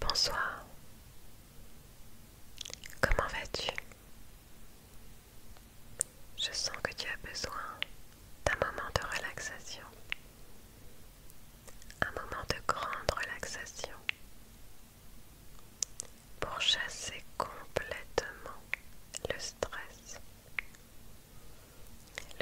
Bonsoir. Comment vas-tu Je sens que tu as besoin d'un moment de relaxation. Un moment de grande relaxation pour chasser complètement le stress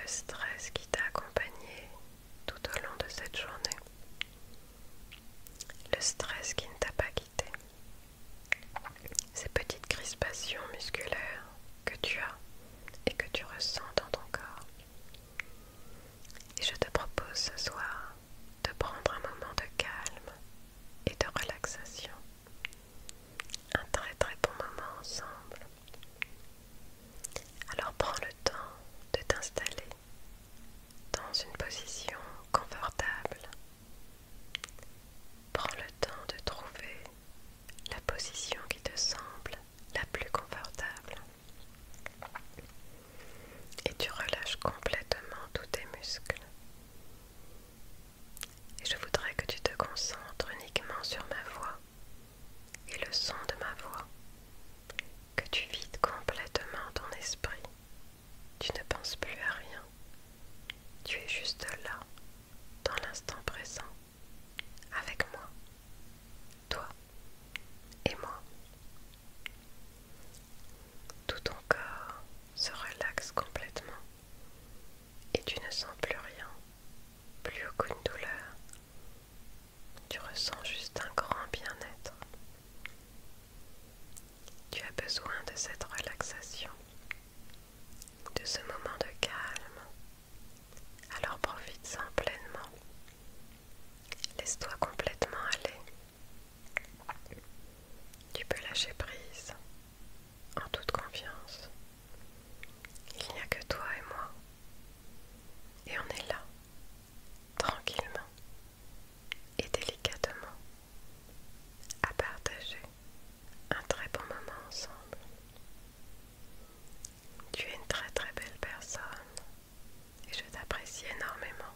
le stress qui t'a accompagné tout au long de cette journée, le stress qui ne t'a pas quitté, ces petites crispations musculaires que tu as et que tu ressens dans ton corps. Et je te propose ce soir de prendre un moment de calme et de relaxation. Un très très bon moment ensemble alors prends le temps de t'installer dans une position confortable. Prends le temps de trouver la position qui te semble la plus confortable. Et tu relâches complètement tous tes muscles. Et je voudrais que tu te concentres uniquement sur ma voix et le son de ma voix, que tu vides complètement ton esprit. Tu ne penses plus à rien. Tu es juste là, dans l'instant présent, avec moi, toi et moi. Tout ton corps se relaxe complètement et tu ne sens plus rien, plus aucune douleur, tu ressens juste un grand bien-être. Tu as besoin de cette relaxation, de ce moment de calme. Alors profite-en pleinement. Laisse-toi complètement aller. Tu peux lâcher prise en toute confiance. Il n'y a que toi et moi. Et on est là, tranquillement et délicatement, à partager un très bon moment ensemble. Tu es une très très belle personne et je t'apprécie énormément.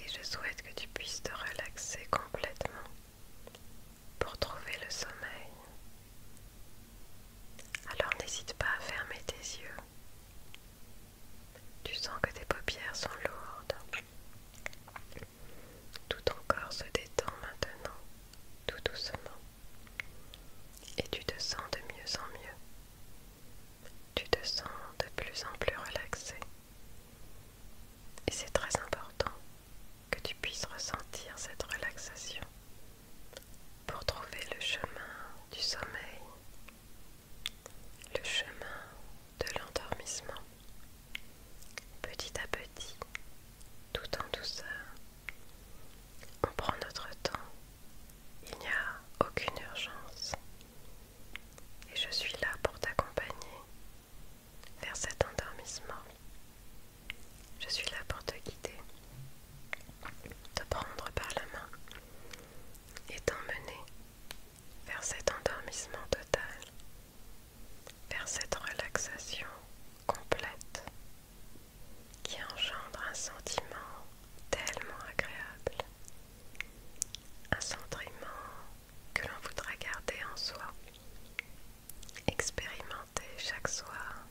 Et je souhaite que tu puisses te relaxer complètement pour trouver le sommeil. Alors n'hésite pas à fermer tes yeux. Tu sens que tes paupières sont lourdes. Tout ton corps se détend maintenant, tout doucement. Et tu te sens de mieux en mieux. Tu te sens de plus en plus relaxé. Et c'est très important que tu puisses ressentir cette relaxation pour trouver le chemin du sommeil, le chemin de l'endormissement, petit à petit, tout en douceur. On prend notre temps, il n'y a aucune urgence. Et je suis là pour t'accompagner vers cet endormissement. Je suis là pour te guider, te prendre par la main et t'emmener vers cet endormissement total, vers cette relaxation complète qui engendre un sentiment tellement agréable, un sentiment que l'on voudra garder en soi, expérimenter chaque soir,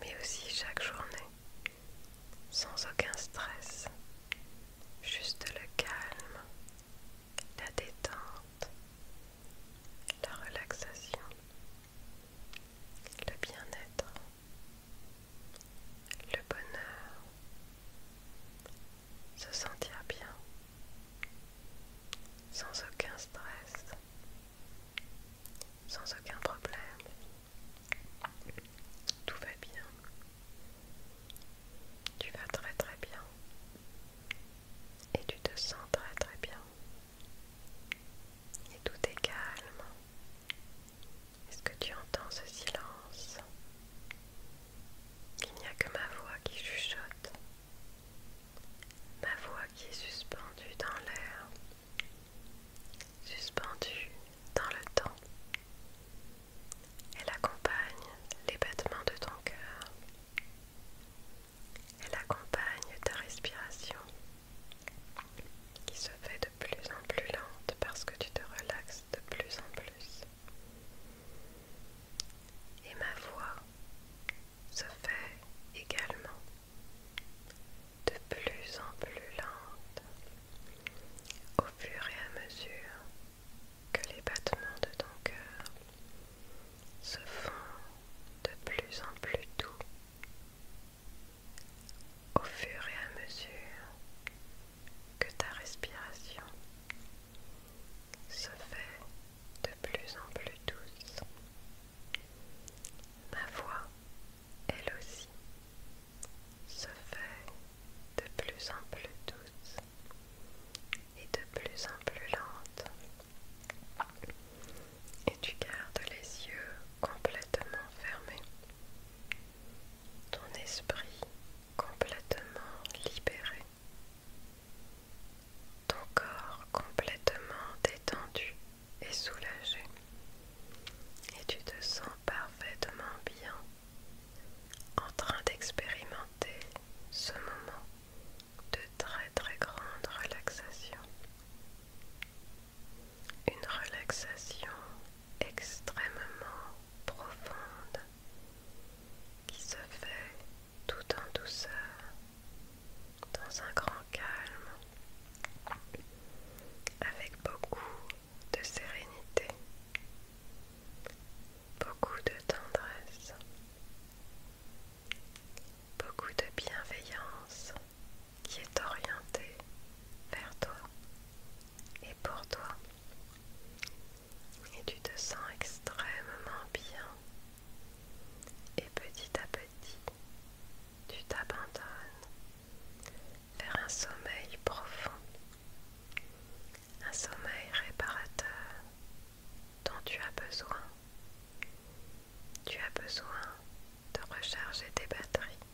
mais aussi chaque journée, sans aucun stress, juste le calme, la détente, la relaxation, le bien-être, le bonheur, se sentir bien sans aucun stress, sans aucun problème. Tout va bien. Tu vas très très bien. Et tu te sens très très bien. Et tout est calme. Est-ce que tu entends ce silence Il n'y a que ma voix qui chuchote. Ma voix qui est suspendue dans l'air, suspendue dans le temps. Elle accompagne les battements de ton cœur. Elle accompagne ta respiration qui se fait de plus en plus lente parce que tu te relaxes de plus en plus. Et ma voix se fait également de plus en plus lente au fur et à mesure que les battements de ton cœur se font de plus en plus doux au fur et à mesure que ta respiration se fait de plus en plus douce. Ma voix, elle aussi, se fait de plus en plus douce et de plus en plus lente. Et tu gardes les yeux complètement fermés, ton esprit complètement libéré ton corps complètement détendu et soulagé et tu te sens parfaitement bien en train d'expérimenter ce moment de très très grande relaxation. Une relaxation extrêmement profonde qui se fait tout en douceur, dans un grand calme, avec beaucoup de sérénité, beaucoup de tendresse, beaucoup de bienveillance qui est orientée vers toi et pour toi et tu te sens extrêmement bien. Et petit à petit, tu t'abandonnes vers un sommeil profond, un sommeil réparateur dont tu as besoin. Tu as besoin de recharger tes batteries,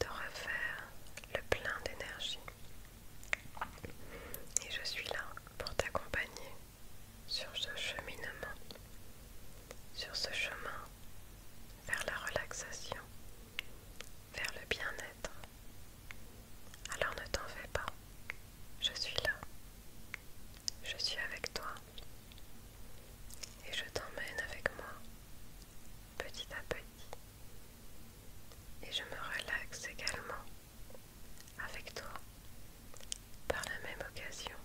de refaire le plein d'énergie. Et je suis là pour t'accompagner sur ce cheminement, sur ce chemin vers la relaxation, vers le bien-être. Alors ne t'en fais pas, je suis là, je suis avec toi et je t'emmène avec moi petit à petit et je me relaxe également avec toi par la même occasion.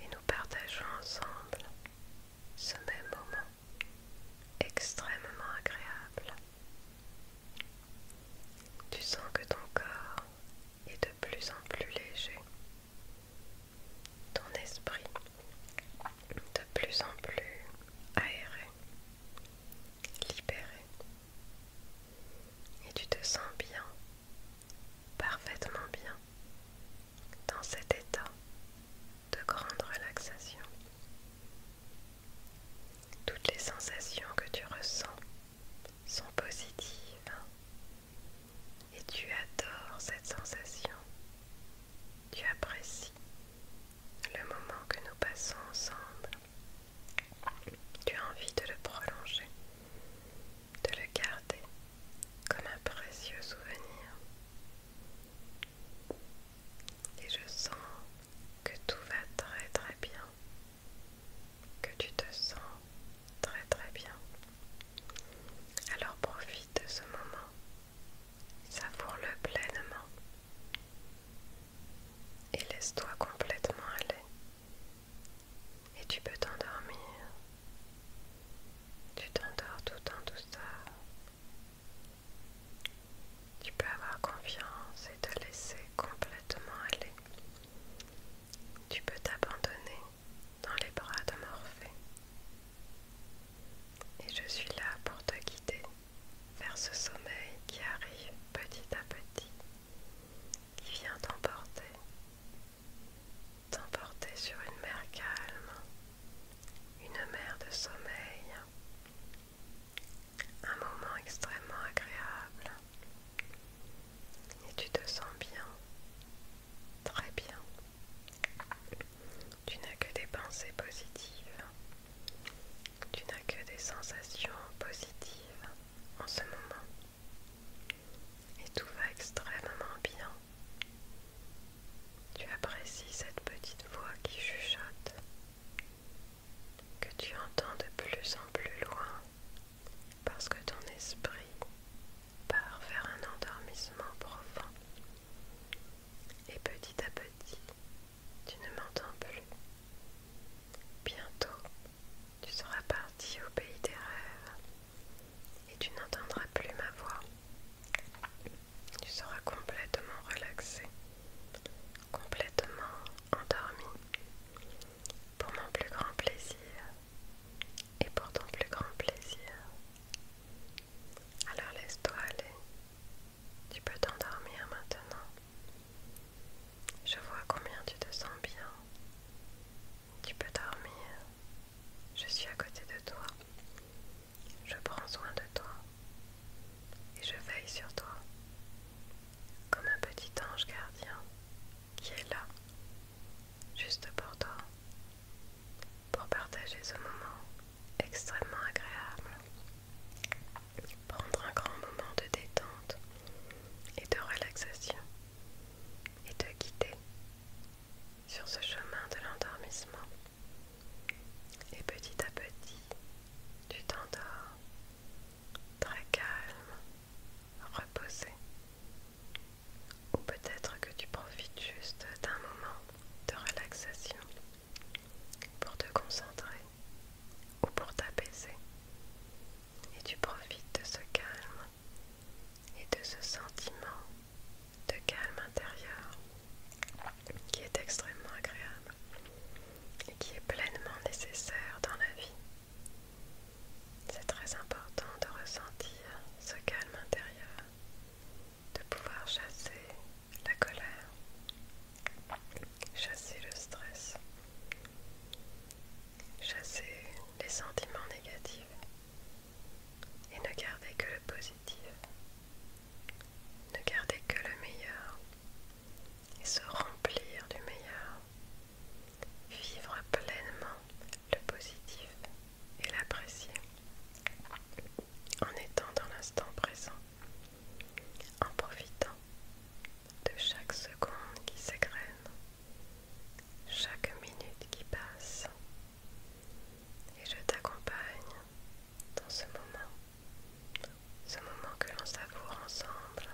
Et nous partageons ensemble ce même moment extrêmement agréable. Tu sens que ton corps est de plus en plus léger, ton esprit de plus en plus aéré libéré et tu te sens bien, parfaitement bien, dans cet état de grande relaxation. Toutes les sensations que tu ressens sont positives hein. et tu adores cette sensation tu apprécies le moment que nous passons ensemble. Tu as envie de le prolonger, de le garder comme un précieux souvenir. Et je sens que tout va très très bien, que tu te sens très très bien. Alors profite de ce moment Savoure-le pleinement et laisse-toi complètement aller. Et tu peux t'endormir. Tu t'endors tout en douceur. Tu peux avoir confiance et te laisser complètement aller. Tu peux t'abandonner dans les bras de Morphée et je suis là pour te guider vers ce sommeil qui arrive petit à petit, qui vient t'emporter, t'emporter sur une mer calme, une mer de sommeil, un moment extrêmement agréable. Et tu te sens bien, très bien. Tu n'as que des pensées positives. Tu n'as que des sensations positives en ce moment. Et tout va extrêmement bien. Tu apprécies cette petite voix qui chuchote, que tu entends de plus en plus loin, parce que ton esprit part vers un endormissement profond et petit à petit, tu ne m'entends plus. Bientôt, tu seras parti au pays des rêves et tu n'entendras plus ma voix. Tu seras complètement relaxé, complètement endormi, pour mon plus grand plaisir. Et pour ton plus grand plaisir, alors laisse-toi aller. Tu peux t'endormir maintenant. Je vois combien tu te sens bien. Tu peux dormir. Je suis à côté de toi. Je prends soin de toi. Et je veille sur toi. Comme un petit ange gardien qui est là. Juste pour toi. Pour partager ce moment extrêmement agréable. Prendre un grand moment de détente et de relaxation et de guider sur ce chemin de l'endormissement. Et petit à petit, tu t'endors très calme, reposé. Ou peut-être que tu profites juste d'un moment de relaxation pour te concentrer ou pour t'apaiser. Et tu profites de ce calme et de ce sentiment de calme intérieur qui est extrêmement agréable et qui est pleinement nécessaire dans la vie. C'est très important de ressentir ce calme intérieur de pouvoir chasser la colère, chasser le stress, chasser les sentiments négatifs et ne garder que le positif, ne garder que le meilleur et se remplir du meilleur, vivre pleinement le positif et l'apprécier en étant dans l'instant présent, en profitant de chaque seconde qui s'égrène, chaque minute qui passe. Et je t'accompagne dans ce moment, ce moment que l'on savoure ensemble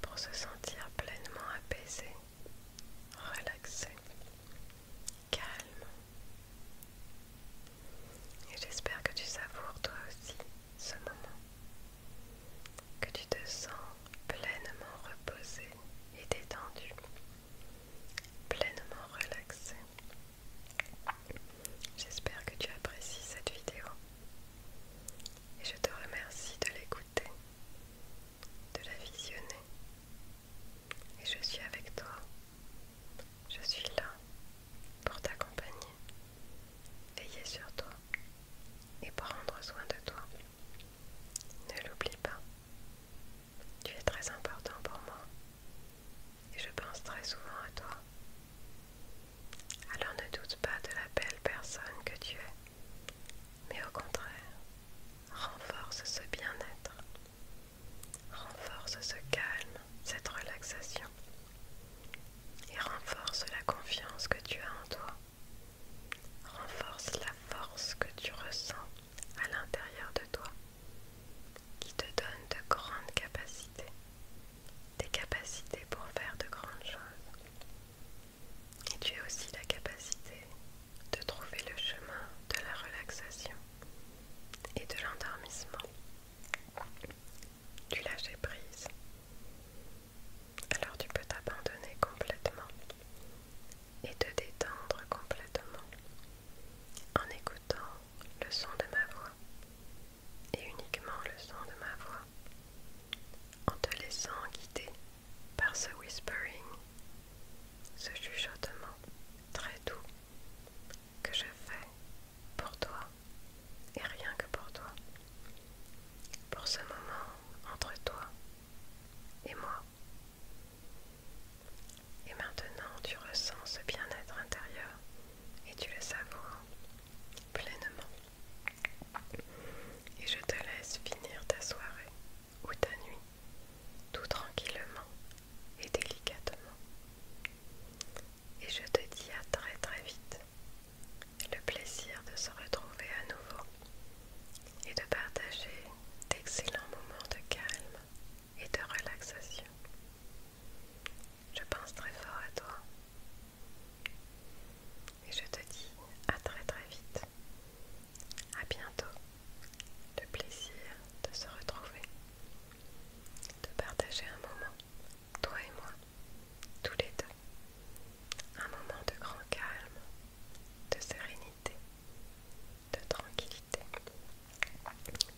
pour se sentir pleinement apaisé relaxé, calme. Et j'espère que tu savoures toi aussi ce moment, que tu te sens pleinement reposé et détendu, pleinement relaxé. J'espère que tu apprécies cette vidéo et je te remercie de l'écouter, de la visionner et je suis avec toi. Je suis là pour t'accompagner, veiller sur toi et prendre soin de toi. Ne l'oublie pas. Tu es très important pour moi et je pense très souvent à toi. Alors ne doute pas de la belle personne que tu es mais au contraire, renforce ce bien-être, renforce ce calme, cette relaxation, et renforce la confiance que tu as en toi, renforce la force que tu ressens à l'intérieur de toi, qui te donne de grandes capacités, des capacités pour faire de grandes choses. Et tu as aussi la capacité de trouver le chemin de la relaxation et de l'endormissement, Tu lâches prise. Alors tu peux t'abandonner complètement et te détendre complètement en écoutant le son de ma voix et uniquement le son de ma voix, en te laissant guider par ce whispering, ce chuchotement très doux que je fais pour toi et rien que pour toi, pour ce moment entre toi et moi. Et maintenant tu ressens ce bien-être intérieur et tu le savoures pleinement. Et je te laisse finir ta soirée ou ta nuit, tout tranquillement et délicatement. Et je te dis à très très vite. Le plaisir de se retrouver à nouveau et de partager d'excellents moments de calme et de relaxation. Je pense très fort à toi et je te dis à très très vite à bientôt. Le plaisir de se retrouver, de partager un moment, toi et moi, tous les deux. Un moment de grand calme, de sérénité, de tranquillité,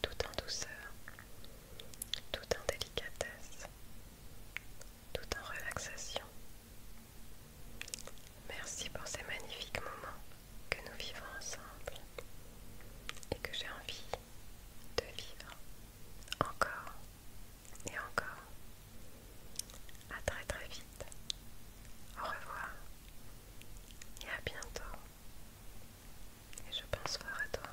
tout en douceur, tout en délicatesse, tout en relaxation. Merci pour ces magnifiques moments que nous vivons ensemble et que j'ai envie de vivre encore et encore. À très très vite. Au revoir et à bientôt. Et je pense fort à toi.